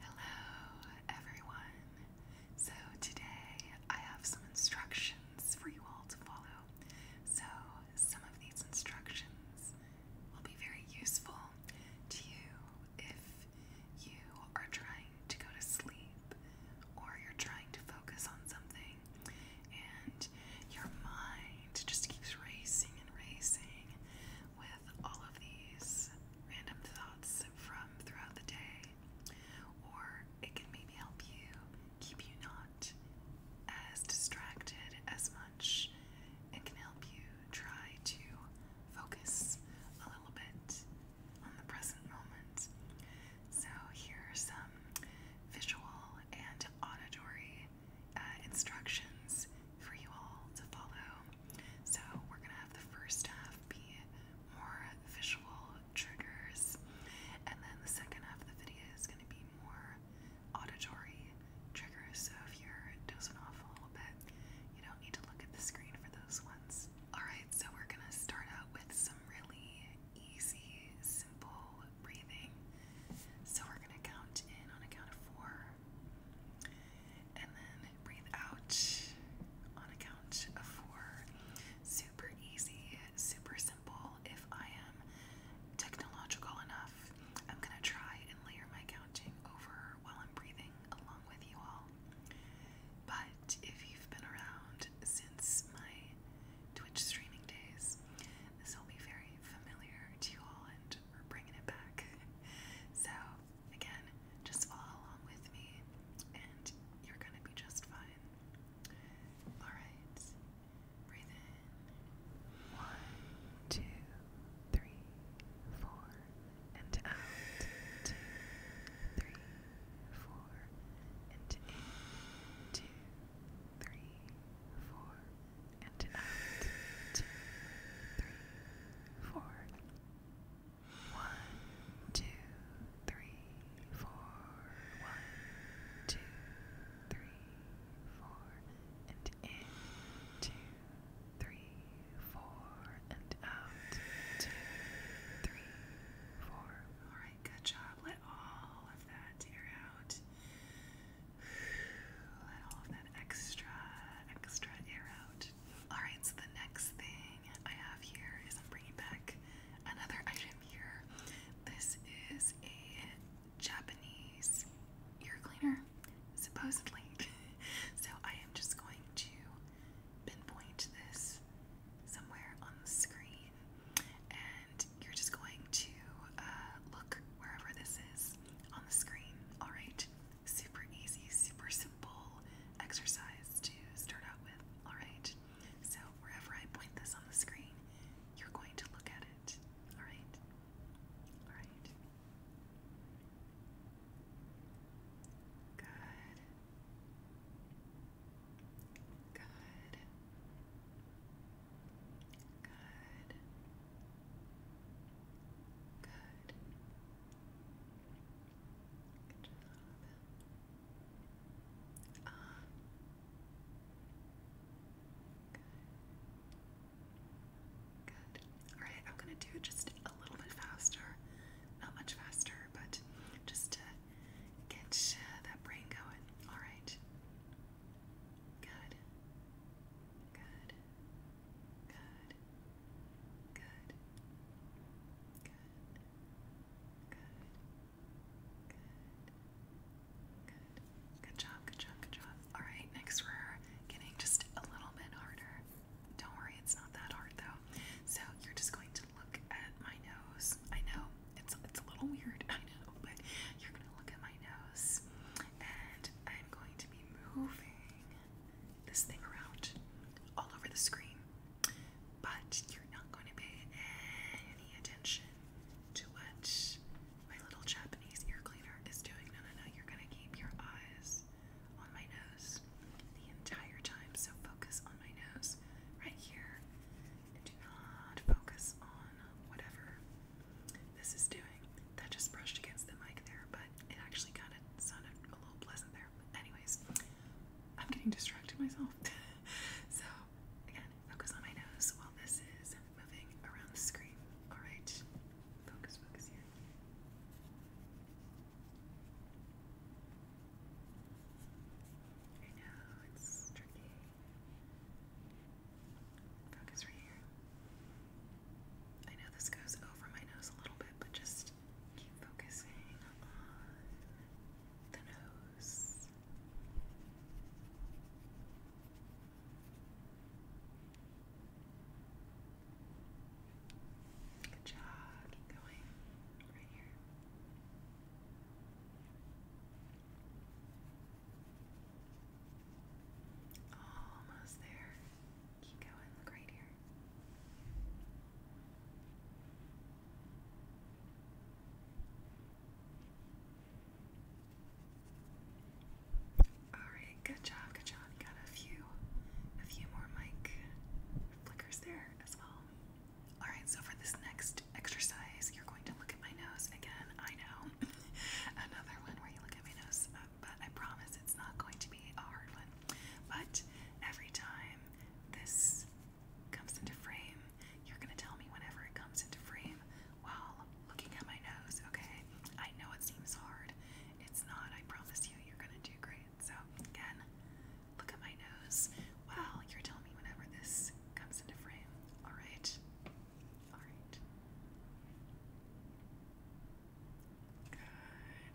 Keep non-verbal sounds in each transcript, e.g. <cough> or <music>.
Hello everyone. So today I have some instructions for you all to follow. So some of these instructions will be very useful to you if you are trying to go to sleep or you're trying to focus on something and your mind just keeps racing and racing with all of these random thoughts from throughout the day, or it can maybe help you keep you not as distracted as much and can help you try to focus a little bit on the present moment. So, here are some visual and auditory uh, instructions for you all to follow so we're gonna have the first half be more visual triggers, and then the second half of the video is gonna be more auditory triggers. So if you're dozing off a little bit, you don't need to look at the screen for those ones. Alright, so we're gonna start out with some really easy, simple breathing. So we're gonna count in on a count of four. And then breathe out on a count of four. Super easy, super simple. If I am technological enough, I'm gonna try and layer my counting over while I'm breathing along with you all. But if you've been around since my Twitch streaming days, this will be very familiar to you all, and we're bringing it back. <laughs> So Again, just follow along with me and you're gonna be just fine. Alright, breathe in. One, two, three, four, and out. Two, three, four, and in. Two, three, four, and out. Two, three, four. One, two, three, four. One, two, three, four. And in, two, three, four. And out, two, three, four. Alright, good job. Let all of that air out. Let all of that extra, extra air out. Alright, so the next thing I have here is I'm bringing back another item here. This is a Japanese ear cleaner, supposedly. <laughs> so I am just going to pinpoint this somewhere on the screen, and you're just going to uh, look wherever this is on the screen, alright? super easy, super simple exercise to start out with, alright? So, wherever I point this on the screen, you're going to look at it, alright? Alright. Good. Good. Good. Good. Alright, I'm gonna do it just a little bit faster. Not much faster, but just to get uh, that brain going. Alright. Good. Good. Good. Good. Good. Good. Good. Good. Good job, good job, good job. Alright, next we're getting just a little bit harder. Don't worry, it's not that hard though. So you're just going to look at my nose. I know, it's it's a little weird, I know, but you're gonna look at my nose and I'm going to be moving this thing around all over the screen, but you're not going to pay any attention to what my little Japanese ear cleaner is doing. No, no, no, you're going to keep your eyes on my nose the entire time, so focus on my nose right here and do not focus on whatever this is doing. That just brushed against the mic there, but it actually kind of sounded a little pleasant there. anyways, I'm getting distracted myself. <laughs> so, again, focus on my nose while this is moving around the screen. Alright, focus, focus here. I know, it's tricky. Focus right here. I know this goes over my nose a little bit, but just Keep focusing on the nose. Good job. Keep going. Right here. Almost there. Keep going, look right here. Alright, good job, good job. got a few a few more mic flickers there as well. Alright, so for this next exercise, you're going to look at my nose again. I know. <laughs> Another one where you look at my nose, uh, but I promise it's not going to be a hard one. But every time this comes into frame, you're gonna tell me whenever it comes into frame while looking at my nose, okay? I know it seems hard. It's not, I promise you, you're gonna do great. So, again, look at my nose while you're telling me whenever this comes into frame, alright? Alright. Good.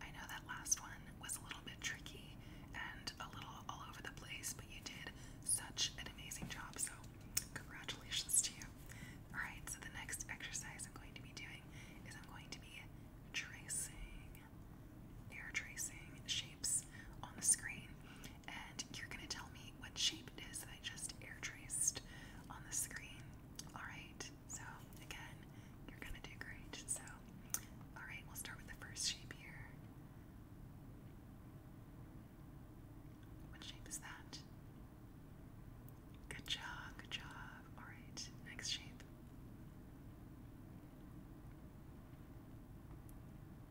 I know that last one was a little bit tricky and a little all over the place, but you did such an amazing job, so congratulations to you. Alright, so the next exercise I'm going to be doing is I'm going to be tracing, air tracing shapes on the screen. And you're going to tell me what shape it is that I just air traced on the screen. Alright, so again, you're going to do great. So, alright, we'll start with the first shape here. What shape is that? Good job, good job. Alright, next shape.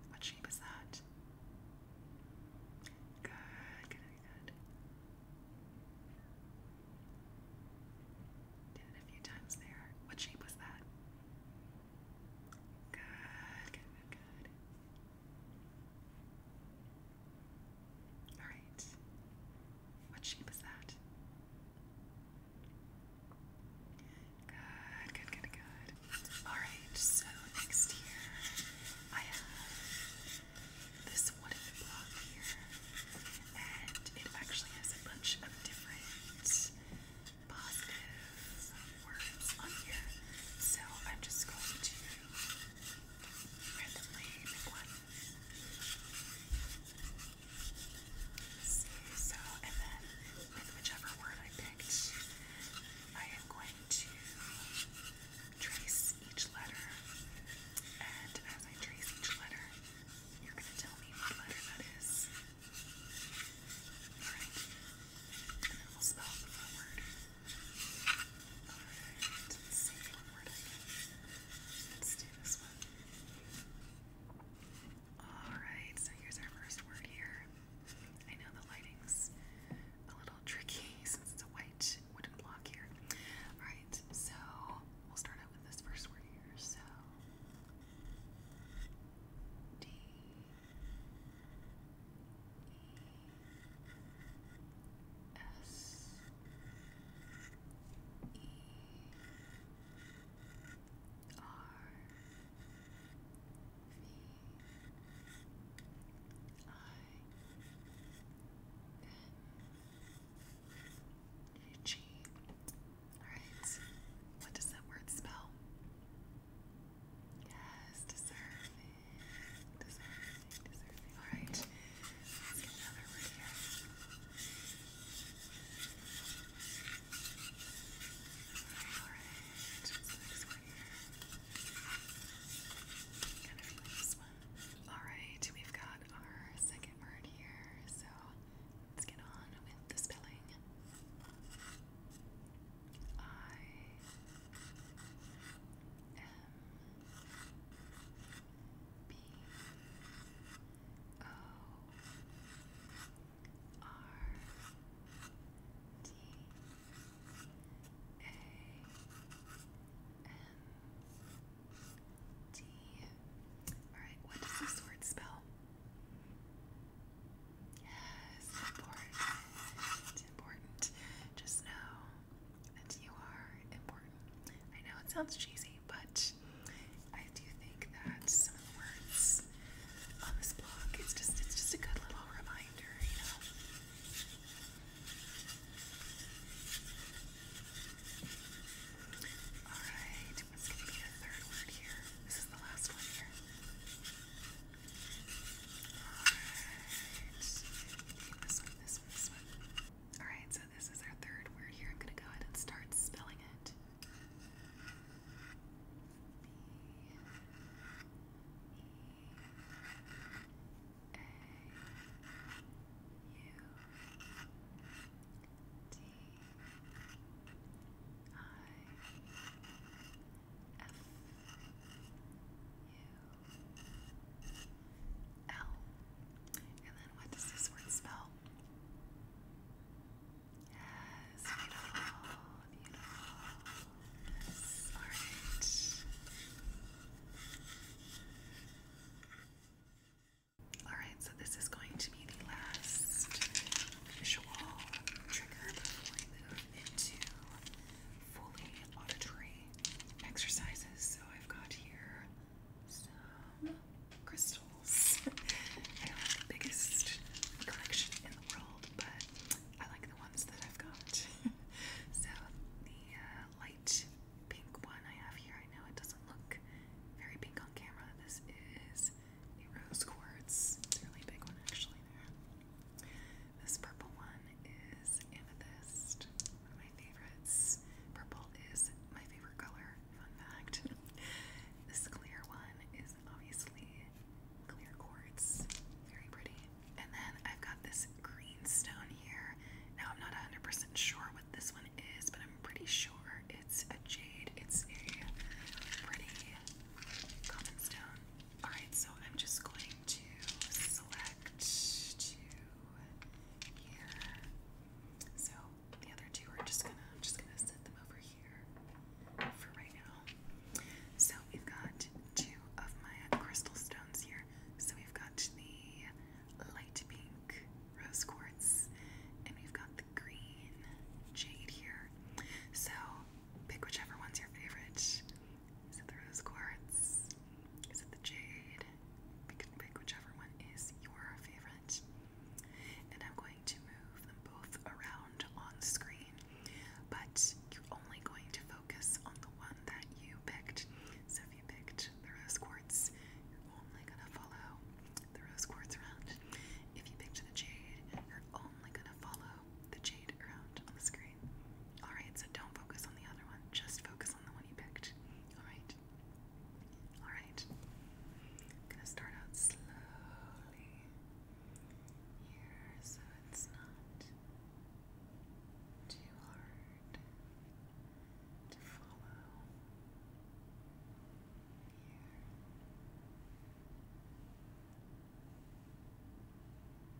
What shape is that? Good, good, good. Did it a few times there. What shape was that? Good, good, good, Alright. What shape is that? Good, good, good, good. Alright, so next here I have this wooden block here. And it actually has a bunch of different positive words on here. So I'm just going to randomly pick one. See, so, and then with whichever word I picked, I am going to trace each letter. And as I trace each letter, you're going to tell me what letter that is. Alright? And then we'll spell the word. Alright, let's see one more Let's do this one. Alright, so here's our first word here. I know the lighting's a little tricky since it's a white wooden block here. Alright, so we'll start out with this first word here. So, D. S E R V I N G. Alright, what does that word spell? Yes, deserving. Deserving, deserving. Alright, let's get another word here. Alright, alright. What's the this one. Alright, we've got our second word here, so let's get on with the spelling. I M B O R D A N D. Alright, what does this word spell? Yes, important. Important. Just know that you are important. I know it sounds cheesy, but I do think that some of the words on this blog it's just it's just a good little reminder, you know. Alright, what's gonna be the third word here? This is the last one here. Alright. so this is our third word here. I'm gonna go ahead and start spelling it. B E A U D I N F U L. And then what does this word spell? Yes, beautiful, beautiful. all right. All right, so this is going to be the last visual trigger before we move into fully auditory exercises. So I've got here some crystals. <laughs> I don't have the biggest collection in the world, but I like the ones that I've got. <laughs> so the uh, light pink one I have here, I know it doesn't look very pink on camera. This is the rose quartz. It's a really big one actually there. This purple one is amethyst, one of my favorites. Purple is my favorite color, fun fact. <laughs> this clear one is obviously clear quartz, very pretty. And then I've got this green stone here. Now I'm not 100% sure what this one is, but I'm pretty sure it's a jade. It's a pretty common stone. Alright, so I'm just going to select two here. So the other two are just gonna just gonna set them over here for right now. So we've got two of my crystal stones here. So we've got the light pink rose quartz and we've got the green jade here. So pick whichever one's your favorite. Is it the rose quartz? Is it the jade? You can pick whichever one is your favorite. And I'm going to move them both around on screen, but you're only going to focus on the one that you picked. So if you picked the rose quartz, you're only going to follow the rose quartz around. If you picked the jade, you're only going to follow the jade around on the screen. Alright, so don't focus on the other one. Just focus on the one you picked. Alright? Alright. gonna start out slowly here so it's not too hard to follow. Here.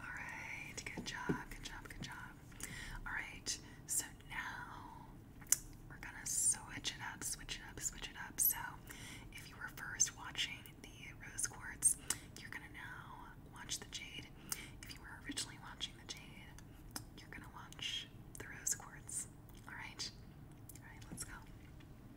Alright, good job, good job, good job. Alright, so now we're gonna switch it up, switch it up, switch it up. So if you were first watching the rose quartz, you're gonna now watch the jade. If you were originally watching the jade, you're gonna watch the rose quartz. Alright? Alright, let's go.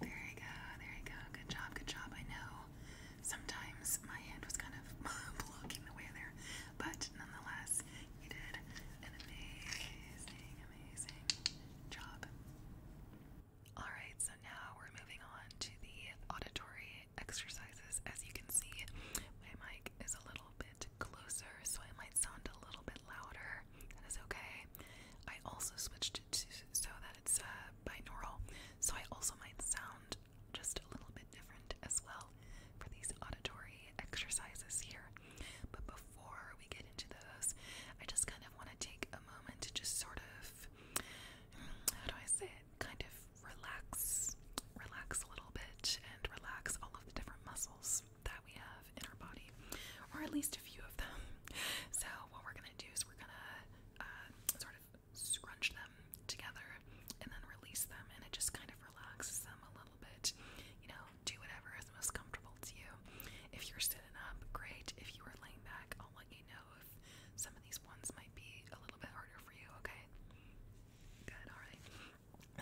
There you go, there you go. Good job, good job. I know Sometimes my hand was kind of <laughs> blocking the way there, but nonetheless, you did an amazing, amazing job. Alright, so now we're moving on to the auditory exercises. As you can see, my mic is a little bit closer, so it might sound a little bit louder. That is okay. I also switched it to so that it's uh, binaural, so I also might sound just a little bit different as well for these auditory exercises here. But before we get into those, I just kind of want to take a moment to just sort of, how do I say it, kind of relax, relax a little bit and relax all of the different muscles that we have in our body, or at least a few of them. So, what we're going to do is we're going to uh, sort of of scrunch them together and then release them, and it just kind of relaxes them a little bit. You know, do whatever is most comfortable to you. If you're sitting up, great. If you are laying back, I'll let you know if some of these ones might be a little bit harder for you, okay? Good, alright.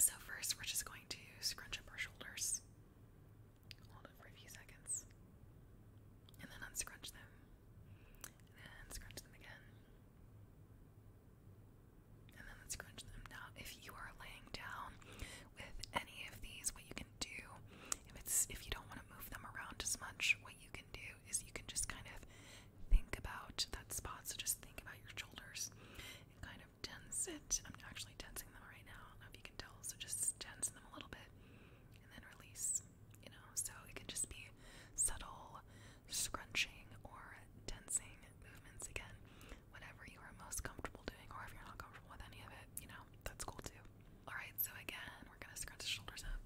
So, first, we're just going to scrunch up our shoulders. Hold it for a few seconds. And then unscrunch them. And scrunch them again. And then let's scrunch them. Now, if you are laying down with any of these, what you can do, if it's if you don't want to move them around as much, what you can do is you can just kind of think about that spot. So just think about your shoulders and kind of tense it. I'm actually tensing them right now. I do if you can tell. So just tense them a little bit and then release. You know, so it can just be subtle scrunching or tensing movements again. Whatever you are most comfortable doing, or if you're not comfortable with any of it, you know, that's cool too. Alright, so again, we're gonna scrunch the shoulders up.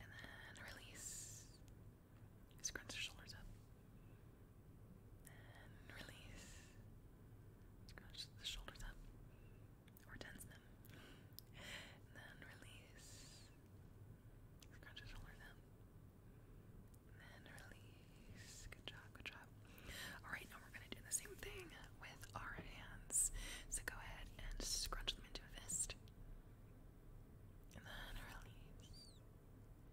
And then release. Scrunch the shoulders up. And release. Scrunch the shoulders up. Or tense them. then release. Scrunch your then release. Good job, good job. Alright, now we're going to do the same thing with our hands. So go ahead and scrunch them into a fist. And then release.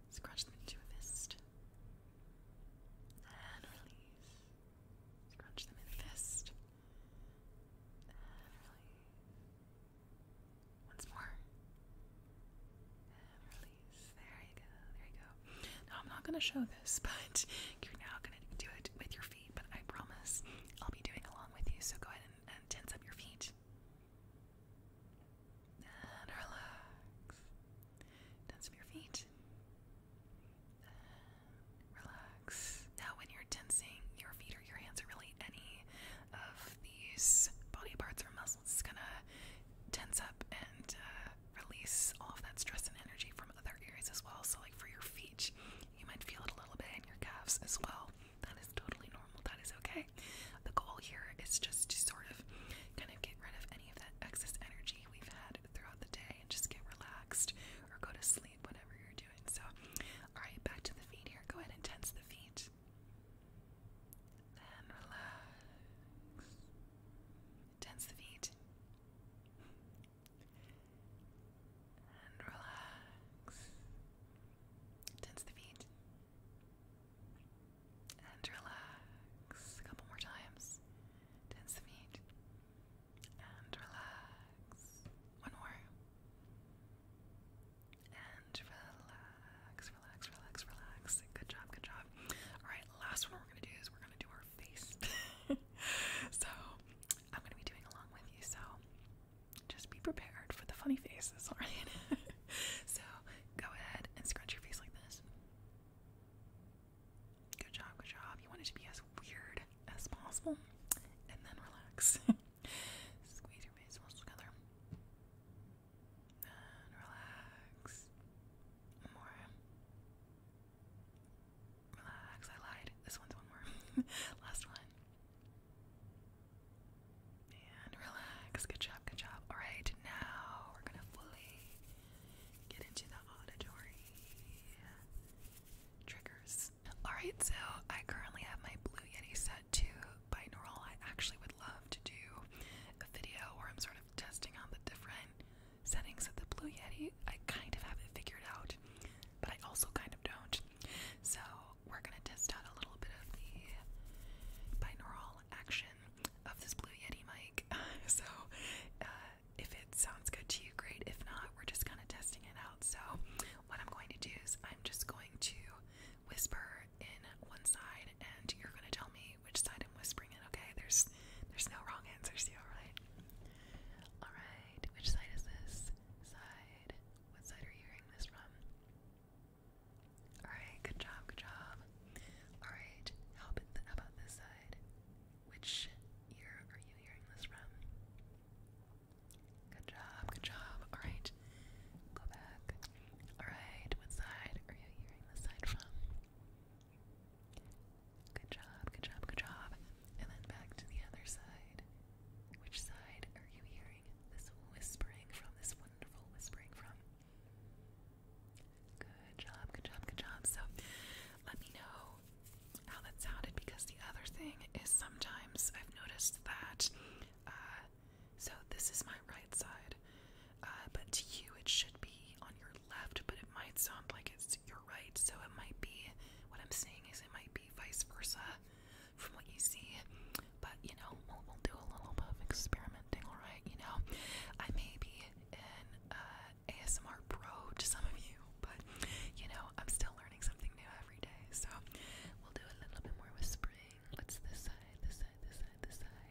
Scrunch them into a fist. And release. Scrunch them in a fist. And release. Once more. And release. There you go. There you go. Now, I'm not going to show this, <laughs> but you're now going to do it with your feet. But I promise I'll be doing along with you. So go ahead and, tense up your feet. And relax. Tense up your feet. relax. Now, when you're tensing your feet, your hands are really any of these body parts or muscles is gonna tense up and uh, release all of that stress and energy from other areas as well. So, like for your feet, you might feel it a little bit in your calves as well. That is totally normal. That is okay. The goal here is just to sort of kind of get rid of any of that excess energy we've had throughout the day and just get relaxed or go to sleep, whatever you're doing. So, all right, back to the feet here. Go ahead and tense the feet and relax. Tense the feet and relax. Tense the feet and relax. A couple more times. Tense the feet and relax. One more. And relax, relax, relax, relax. Good job, good job. Alright, last one we're gonna do is we're gonna do our face. <laughs> so I'm gonna be doing along with you, so just be prepared for the funny faces, <laughs> alright? so go ahead and scrunch your face like this. Good job, good job. You want it to be as weird as possible and then relax. <laughs> Squeeze your face muscles together. And relax. More. Relax. I lied. This one's one more. <laughs> Last one. And relax. Good job. Good job. Alright, now we're gonna fully get into the auditory triggers. Alright, so I currently have my Blue Yeti set to binaural. I actually would love to do a video where I'm sort of testing out the different settings of the Blue Yeti. I kind of have it figured out, but I also kind of don't. So we're gonna test out a little bit of the binaural action of this Blue Yeti mic. <laughs> so uh, if it sounds good to you, great. If not, we're just kind of testing it out. So what I'm going to do is I'm just going to whisper in one side and you're going to tell me which side I'm whispering in, okay? There's there's no wrong answers here, alright? Alright, which side is this? Side. What side are you hearing this from? Alright, good job, good job. Alright, how about this side? Which ear are you hearing this from? Good job, good job. Alright, go back. Alright, what side are you hearing this side from? Good job, good job, good job. And then back to the other side. Which side are you hearing this whispering from? This wonderful whispering from? Good job, good job, good job. So let me know how that sounded because the other thing is sometimes I've noticed that uh, so this is my right side. Uh, but to you, it should be on your left, but it might sound like it's your right. So it might be what I'm saying is it might be vice versa from what you see. But you know, we'll, do a little bit of experimenting, alright? You know, I may be an uh, ASMR pro to some of you, but you know, I'm still learning something new every day. So we'll do a little bit more whispering listening? What's this side, this side, this side, this side?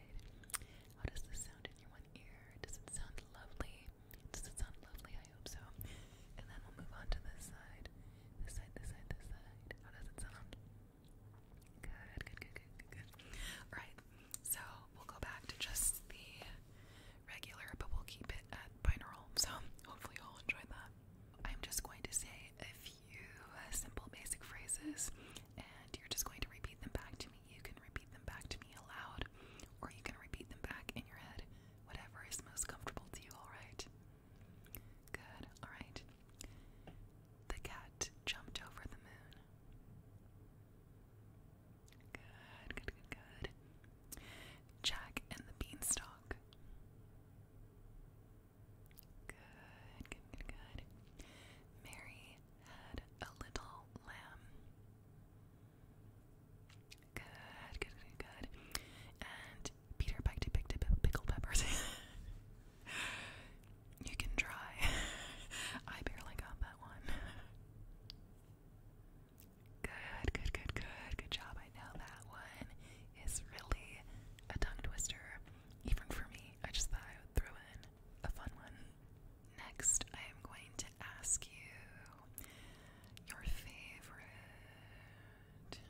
How does this sound in your one ear? Does it sound lovely? Does it sound lovely? I hope so. And then we'll move on to this side. This side, this side, this side. How does it sound? Good, good, good, good, good, good. Alright, so we'll go back to just the regular, but we'll keep it at binaural. So hopefully you'll enjoy that. I'm just going to say a few few simple basic phrases, and you're just going to repeat them back to me. You can repeat them back to me aloud, or you can repeat them back in your head, whatever is most comfortable to you, alright? Good, alright. The cat jumped over the moon. Good, good, good, good. Jack and the beanstalk. Good, good, good, good. Mary had a little lamb. Good, good, good, good. And Peter Pike picked up pickled peppers. <laughs> you can try. <laughs> I barely got that one. Good, good, good, good, good job. I know that one is really a tongue twister. Even for me, I just thought I would throw in a fun one. Next, I am going to ask you your favorite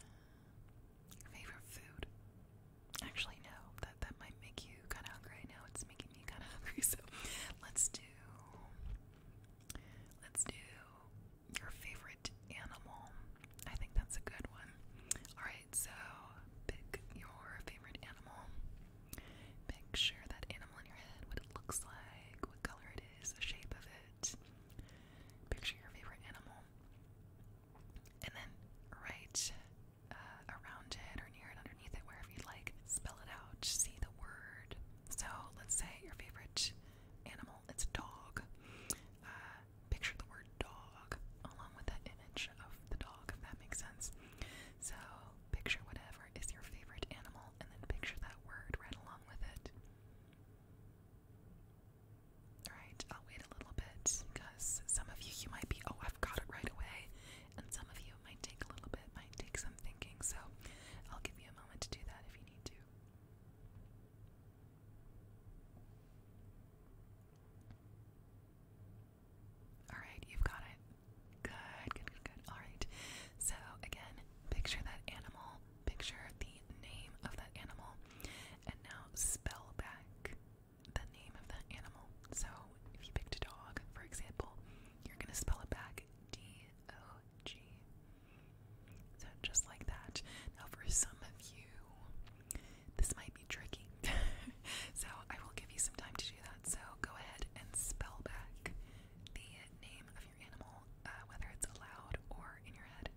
favorite food. Actually, no, that that might make you kind of hungry. Now it's making me kind of <laughs> hungry. So let's do let's do your favorite animal. I think that's a good one. All right so pick your favorite animal. Picture that animal in your head, what it looks like, what color it is, the shape of it. Picture your favorite animal. And then write uh, around it or near it, underneath it, wherever you'd like. Spell it out, see the word. So let's say your favorite animal, it's a dog. Uh, picture the word dog along with that image of the dog, if that makes sense. So, picture whatever is your favorite animal and then picture that word right along with it. Alright, I'll wait a little bit because some of you, you might be, oh, I've got it right away. And some of you, might take a little bit, might take some thinking. So, I'll give you a moment to do that if you need to. Alright, you've got it. Good, good, good, Alright. So, again, picture that animal, picture the name of that animal, and now spell back the name of that animal. So, if you picked a dog, for example, you're going to spell it back D O G. So, just like that. Now, for some of you, this might be tricky. <laughs> so I will give you some time to do that. So go ahead and spell back the name of your animal, uh, whether it's aloud or in your head.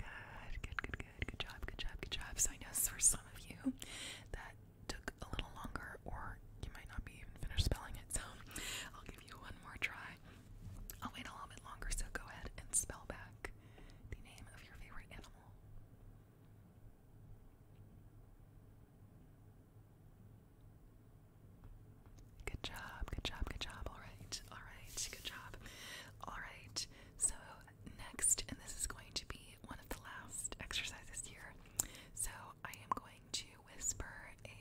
Good, good, good, good, good job, good job, good job. So I know for some of you that took a little longer, or you might not be even finished spelling it. So give you one more try. I'll wait a little bit longer, so go ahead and spell back the name of your favorite animal. Good job, good job, good job. Alright, alright, good job. Alright, so next, and this is going to be one of the last exercises here. So I am going to whisper a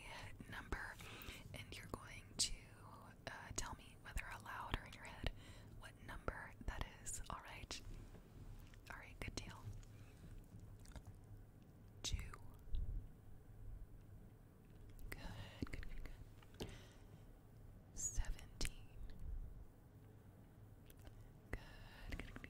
number, and you're going to uh, tell me whether aloud or in your head what number that is. All right. All right. Good deal. Two. Good. Good. Good. Good. Seventeen. Good, good, good, good.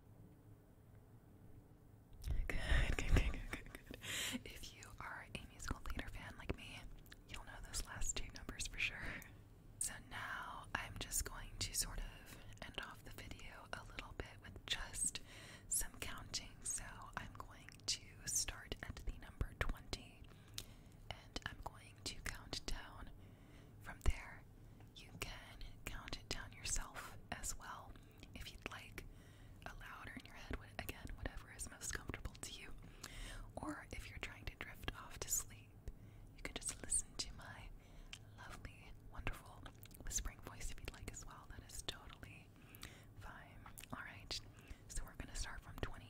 If you are a musical theater fan like me, you'll know those last two numbers for sure. So now I'm just going to sort of end off the video a little bit with just some counting. So I'm going to start at the number 20 and I'm going to count down from there, you can count it down yourself as well if you'd like, louder in your head, again, whatever is most comfortable to you. Or if you're trying to drift off to sleep, you can just listen to my lovely, wonderful whispering voice if you'd like as well. That is totally fine. Alright, so we're going to start from 20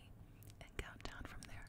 and count down from there.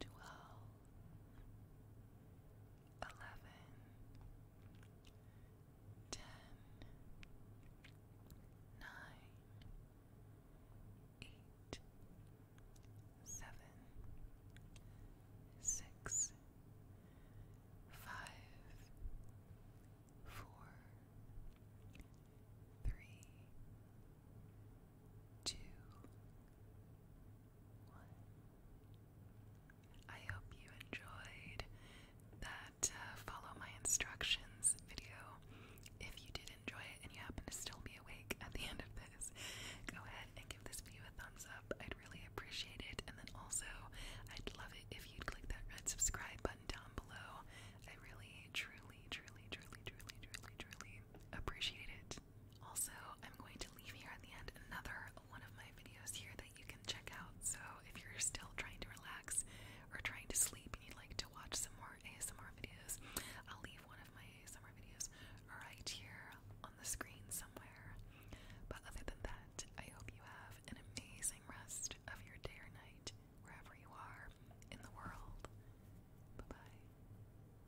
twelve, eleven, ten, nine, eight, seven, six, five, four, three, two, one. I hope you enjoyed that uh, follow my instructions video. If you did enjoy it and you happen to still be awake at the end of this, go ahead and give this video a thumbs up. I'd really appreciate it. And then also, I'd love it if you'd click that red subscribe button down below. I really, truly, truly, truly, truly, truly appreciate it. Also, I'm going to leave here at the end another one of my videos here that you can check out. So if you're still trying to relax or trying to sleep and you'd like to watch some more ASMR videos, I'll leave one of my ASMR videos right here on the screen somewhere. But other than that, I hope you have an amazing rest of your day or night, wherever you are in the world. Bye bye.